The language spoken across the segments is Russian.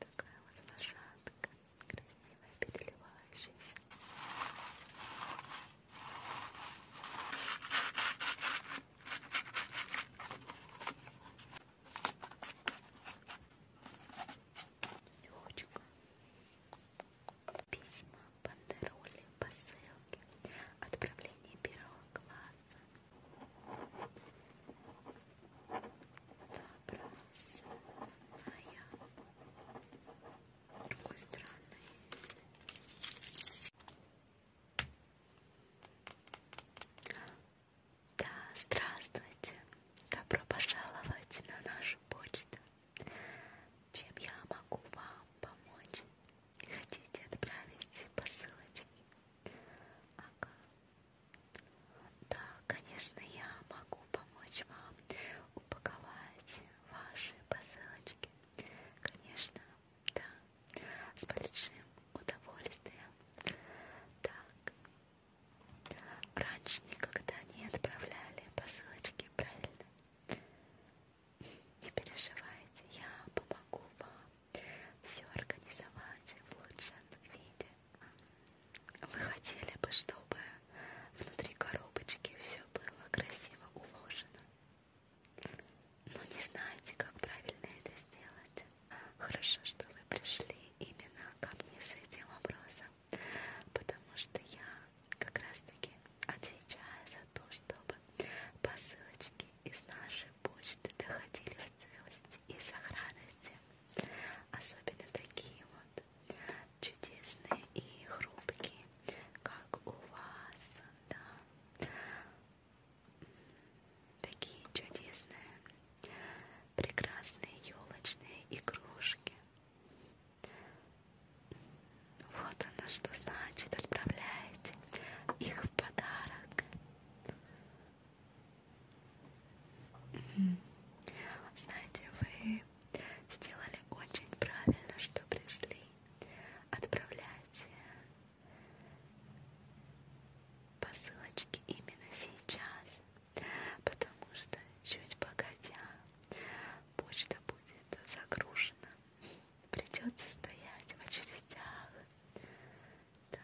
Такая вот лошадка, красивая, переливающаяся. Лёчка. Письма, бандероли, посылки, отправление первого класса. Так, пронзенная с другой стороны да, здравствуйте! Добро пожаловать на нашу почту! Чем я могу вам помочь? Хотите отправить посылочки? Ага, да, конечно, я могу помочь вам упаковать ваши посылочки. Конечно, да, с большим удовольствием. Так, раньше никогда не отправляли посылочки, правильно? Не переживайте, я помогу вам все организовать в лучшем виде. Вы хотели бы, чтобы внутри коробочки все было красиво уложено, но не знаете, как правильно это сделать. Хорошо, что вы пришли именно ко мне с этим вопросом, потому что я как раз-таки отвечаю за то, чтобы посылочки из нашей почты доходили в целости и сохранности. Особенно такие вот чудесные и хрупкие, как у вас, да. Такие чудесные, прекрасные елочные игрушки. Вот оно что значит, отправляете их в подарок. Знаете, вы сделали очень правильно, что пришли. Отправляйте посылочки именно сейчас, потому что чуть погодя почта будет загружена. Придется стоять в очередях. Да.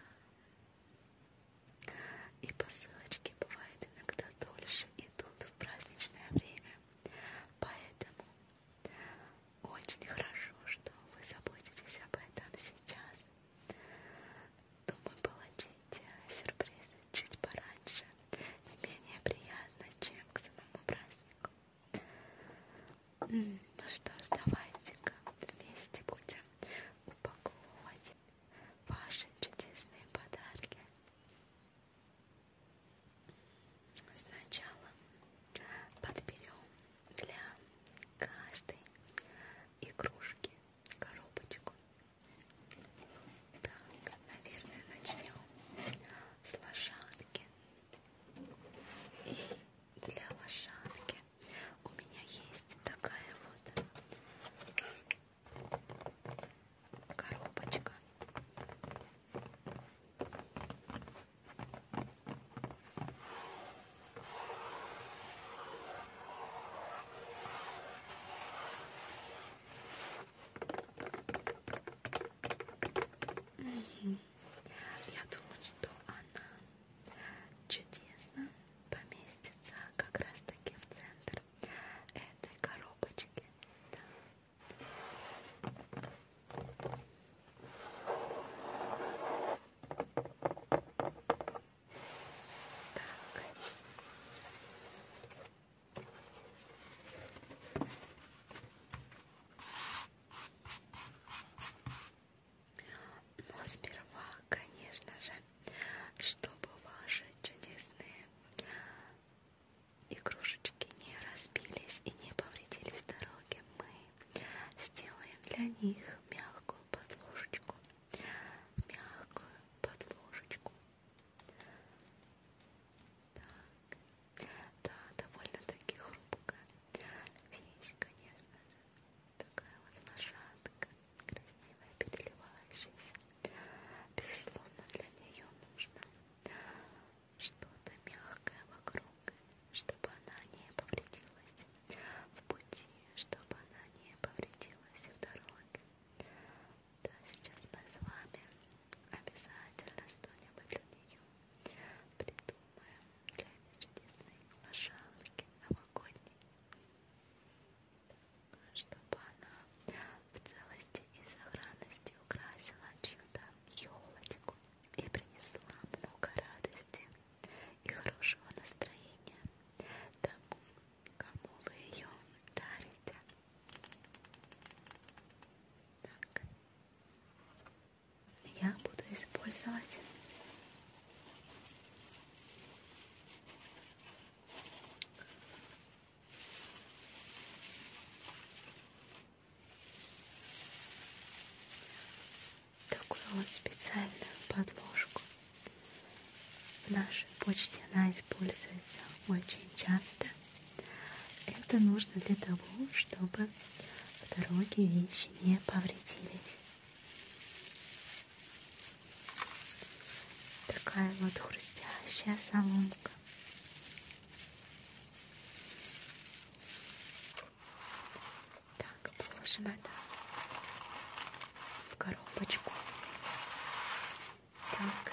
И посылочки бывает иногда дольше идут в праздничное время. Поэтому очень хорошо, что вы заботитесь об этом сейчас. Думаю, получить сюрпризы чуть пораньше не менее приятно, чем к самому празднику. Ну что ж, давайте-ка вместе будем упаковывать ваши чудесные подарки. Сначала подберем для каждой игрушки коробочку. Так, наверное, начнем с лошадки. И для лошадки у меня есть такая вот коробочка. Я думаю, что она чудесна поместится как раз таки в центр этой коробочки. Да. Так. Но сперва, конечно же, чтобы ваши чудесные игрушечки не разбились и не повредились дороги, мы сделаем для них мягкую подложечку, мягкую подложечку. Так, да, довольно-таки хрупкая вещь, конечно же. Такая вот лошадка, красивая, переливающаяся. Безусловно, для нее нужно что-то мягкое вокруг, чтобы она не повредилась в пути, чтобы она не повредилась в дороге. Да, сейчас мы с вами обязательно что-нибудь для нее придумаем для этой чудесной лошадки новогодней чтобы она в целости и сохранности украсила чью-то елочку и принесла много радости и хорошего настроения тому, кому вы ее дарите. Так. Я буду использовать Такую вот специальную подложку в нашей почте она используется очень часто. Это нужно для того, чтобы в дороге вещи не повредились. Такая вот хрустящая соломка. Так, положим это в коробочку. Так.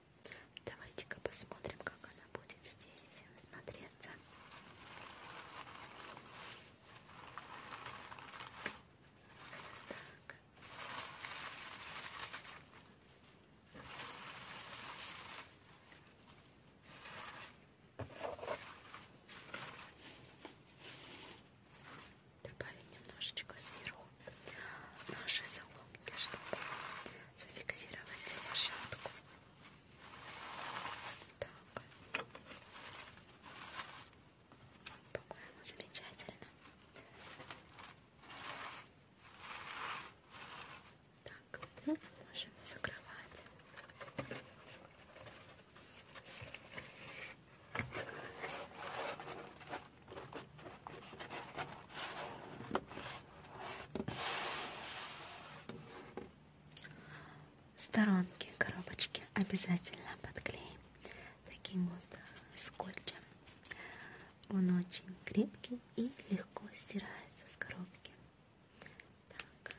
Давайте-ка посмотрим, как она будет здесь смотреться. Так. Добавим немножечко сверху наши соломки, чтобы зафиксировать лошадку. Так. По-моему, замечательно. Так, ну, можем закрывать. Сторонки коробочки обязательно подклеим таким вот скотчем. Он очень крепкий и легко стирается с коробки. Так.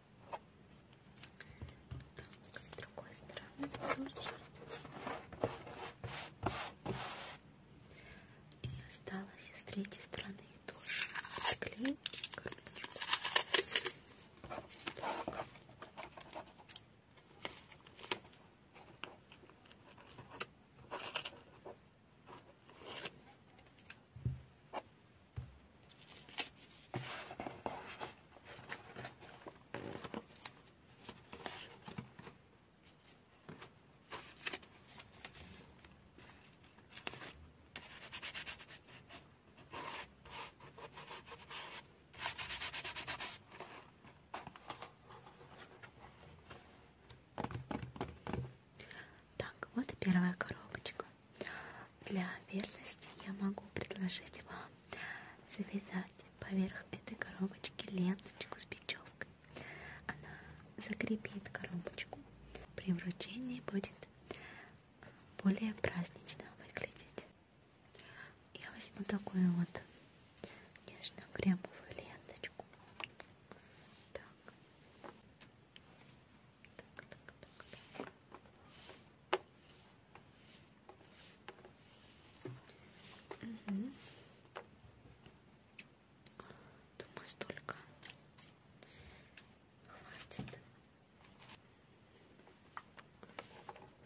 Так, с другой стороны тоже. И осталось с третьей стороны тоже приклеить карточку. Так. Так. Так, вот и первая коробочка. Для верности я могу предложить вам завязать поверх этой коробочки ленточку с бечевкой. Она закрепит коробочку. При вручении будет более празднично выглядеть. Я возьму такую вот нежно-кремовую ленточку. Так. Так, так, так, так. Угу. Думаю, столько хватит.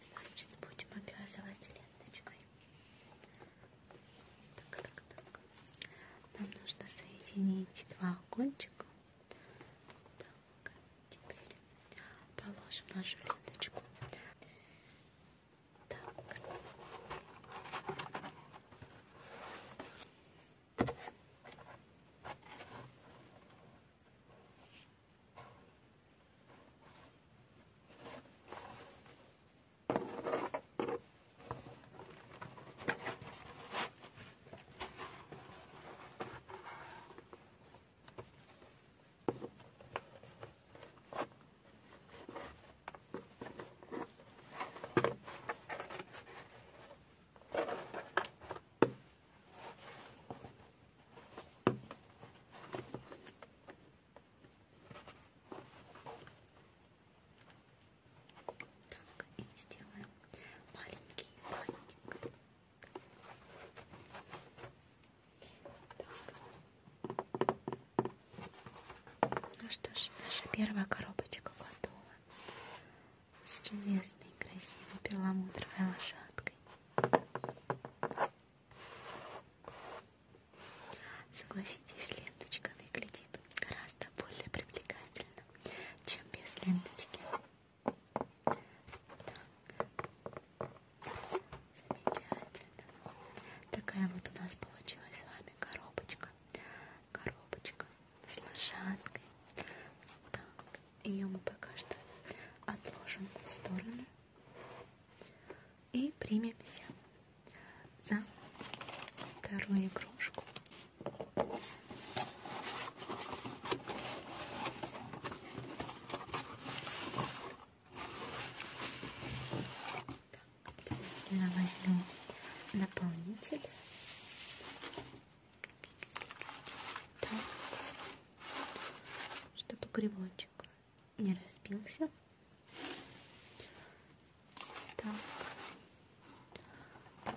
Значит, будем обвязывать ленточкой. Так, так, так. Нам нужно соединить два кончика. Так. Так, теперь положим нашу ленточку. Так. Так, и сделаем маленький бантик. Ну что ж, наша первая коробочка готова. С чудесной, красивой перламутровой лошадкой. Согласитесь, ленточка выглядит гораздо более привлекательно, чем без ленточки. Замечательно. Такая вот у нас получилась с вами коробочка. Коробочка с лошадкой. Так, ее мы пока что отложим в сторону. И примемся за вторую игрушку. Я возьму наполнитель. Так. Чтобы грибочек не разбился. Так. так.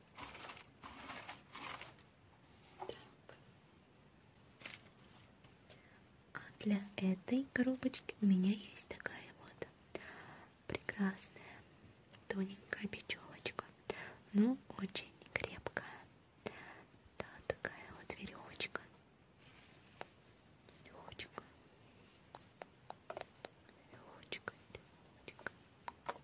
Так. А для этой коробочки у меня есть такая вот прекрасная тоненькая бечевочка, но очень крепкая. Да, такая вот веревочка. Веревочка. Веревочка, веревочка.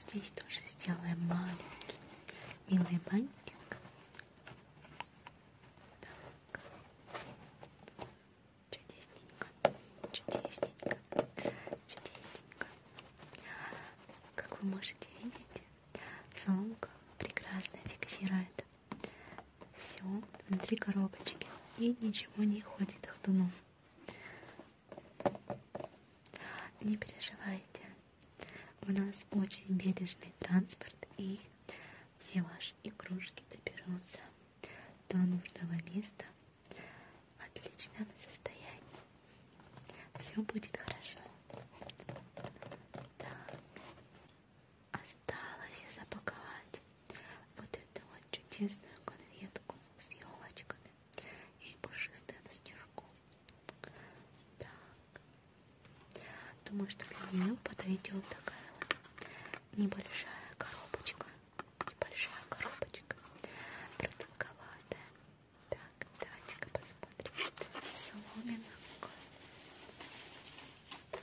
Здесь тоже сделаем маленький милый бантик. Так. Чудесненько. Чудесненько. Чудесненько. Как вы можете видеть, соломка прекрасно фиксирует все внутри коробочки и ничего не ходит ходуном. Не переживайте, у нас очень бережный транспорт, и все ваши игрушки доберутся до нужного места в отличном состоянии. Все будет хорошо. Так, осталось запаковать вот эту вот чудесную конфетку с елочками и пушистым снежком. Так. Думаю, что для нее подарить вот такая вот небольшая коробочка. Небольшая коробочка. Продолговатая. Так, давайте-ка посмотрим. Соломина. Так.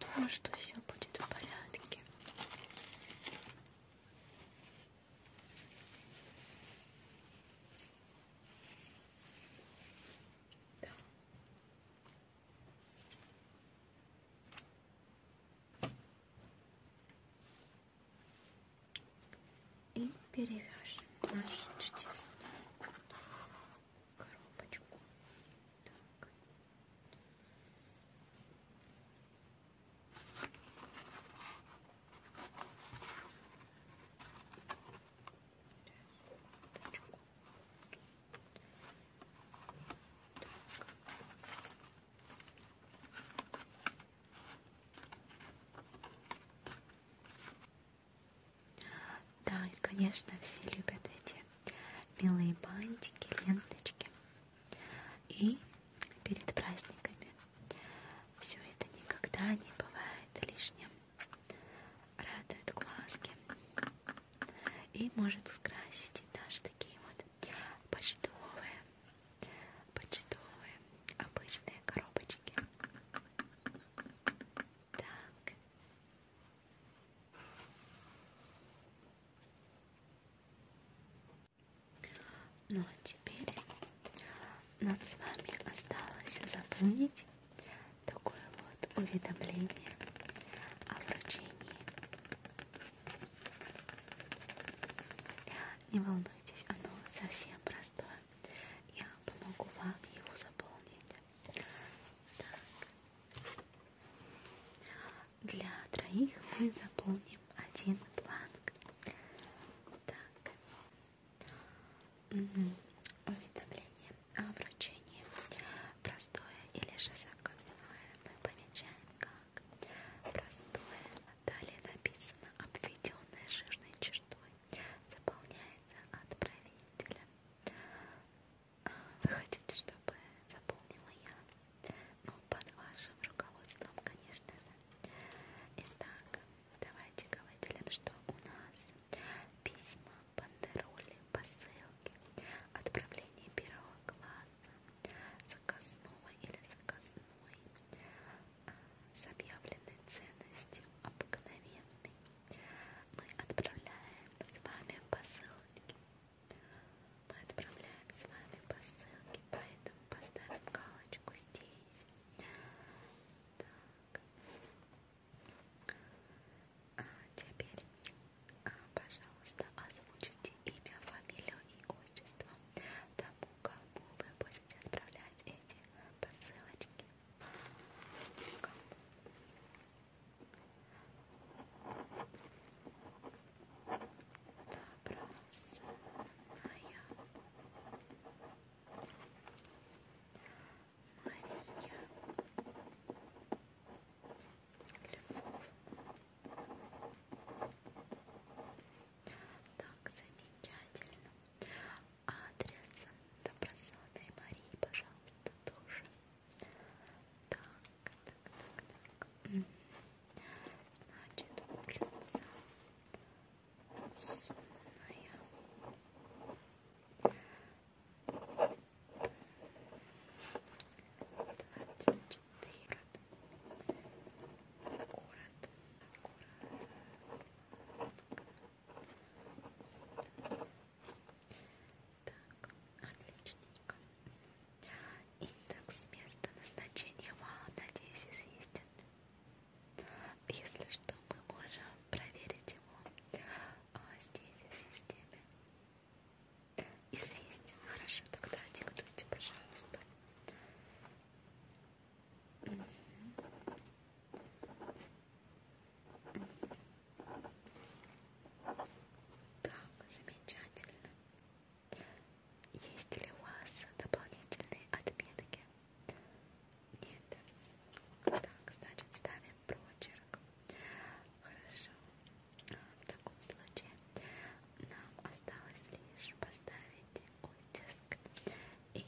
Думаю, что все будет в порядке. Да и перевяжем нашу чудесную коробочку. Так. Так. Да, и, конечно, все любят эти милые бантики, ленточки. И перед праздниками все это никогда не бывает лишним. Радует глазки. И может скрасить и даже такие вот почтовые, почтовые обычные коробочки. Так. Ну а теперь нам с вами осталось заполнить такое вот уведомление о вручении. Не волнуйтесь, оно совсем простое я помогу вам его заполнить. Так. Для троих мы заполним один бланк. Так. Угу. Уведомление о вручении. Простое или же заказное мы помечаем как простое. Далее написано обведенное жирной чертой заполняется отправителем. Вы хотите, чтобы заполнила я? Ну, под вашим руководством, конечно же. Итак, давайте-ка выделим, что у нас письма, бандероли, посылки, отправление первого класса, заказного или заказной, с объявленной ценностью обыкновенной. Мы отправляем с вами посылки. Мы отправляем с вами посылки, поэтому поставим галочку здесь. Так. А теперь, а, пожалуйста, озвучите имя, фамилию и отчество тому, кому вы будете отправлять эти посылочки. Добросная Мария Львов. Так, замечательно адрес добросовестной Марии, пожалуйста, тоже. Так, так, так, так. Значит, улица Сумная. Двадцать четыре. Город. Город. Город. Так, отличненько. Индекс места назначения вам, надеюсь, известен. Если что, мы можем проверить его а, здесь, в системе. Известен. Хорошо, тогда диктуйте, пожалуйста. Так, замечательно. Есть ли у вас дополнительные отметки? Нет. Так, значит, ставим прочерк. Хорошо. В таком случае нам осталось лишь поставить оттиск и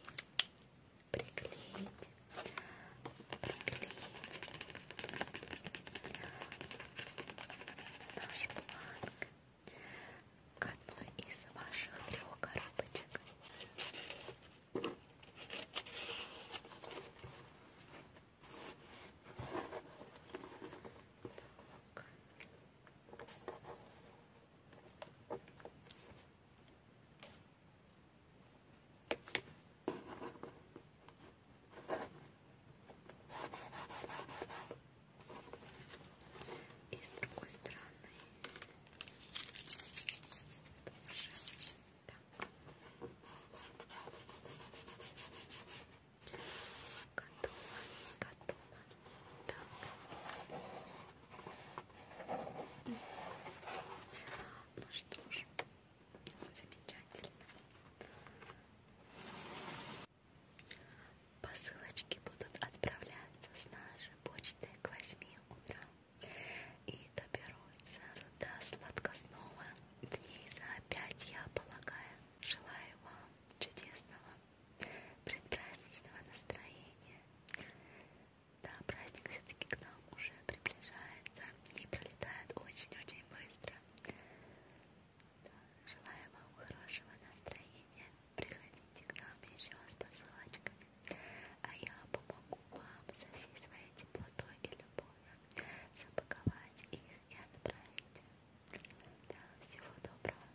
приклеить, приклеить наш бланк к одной из ваших трех коробочек. Так. Так. И с другой стороны тоже так. Готово, готово. Так. Ну что ж, замечательно. Посылочки будут отправляться с нашей почты к 8 утра и доберутся до сладкосного дней за 5, я полагаю. Желаю вам чудесного предпраздничного настроения да, праздник все-таки к нам уже приближается и пролетает очень-очень быстро. Да, желаю вам хорошего настроения. Приходите к нам еще с посылочками. А я помогу вам со всей своей теплотой и любовью запаковать их и отправить. Да, всего доброго.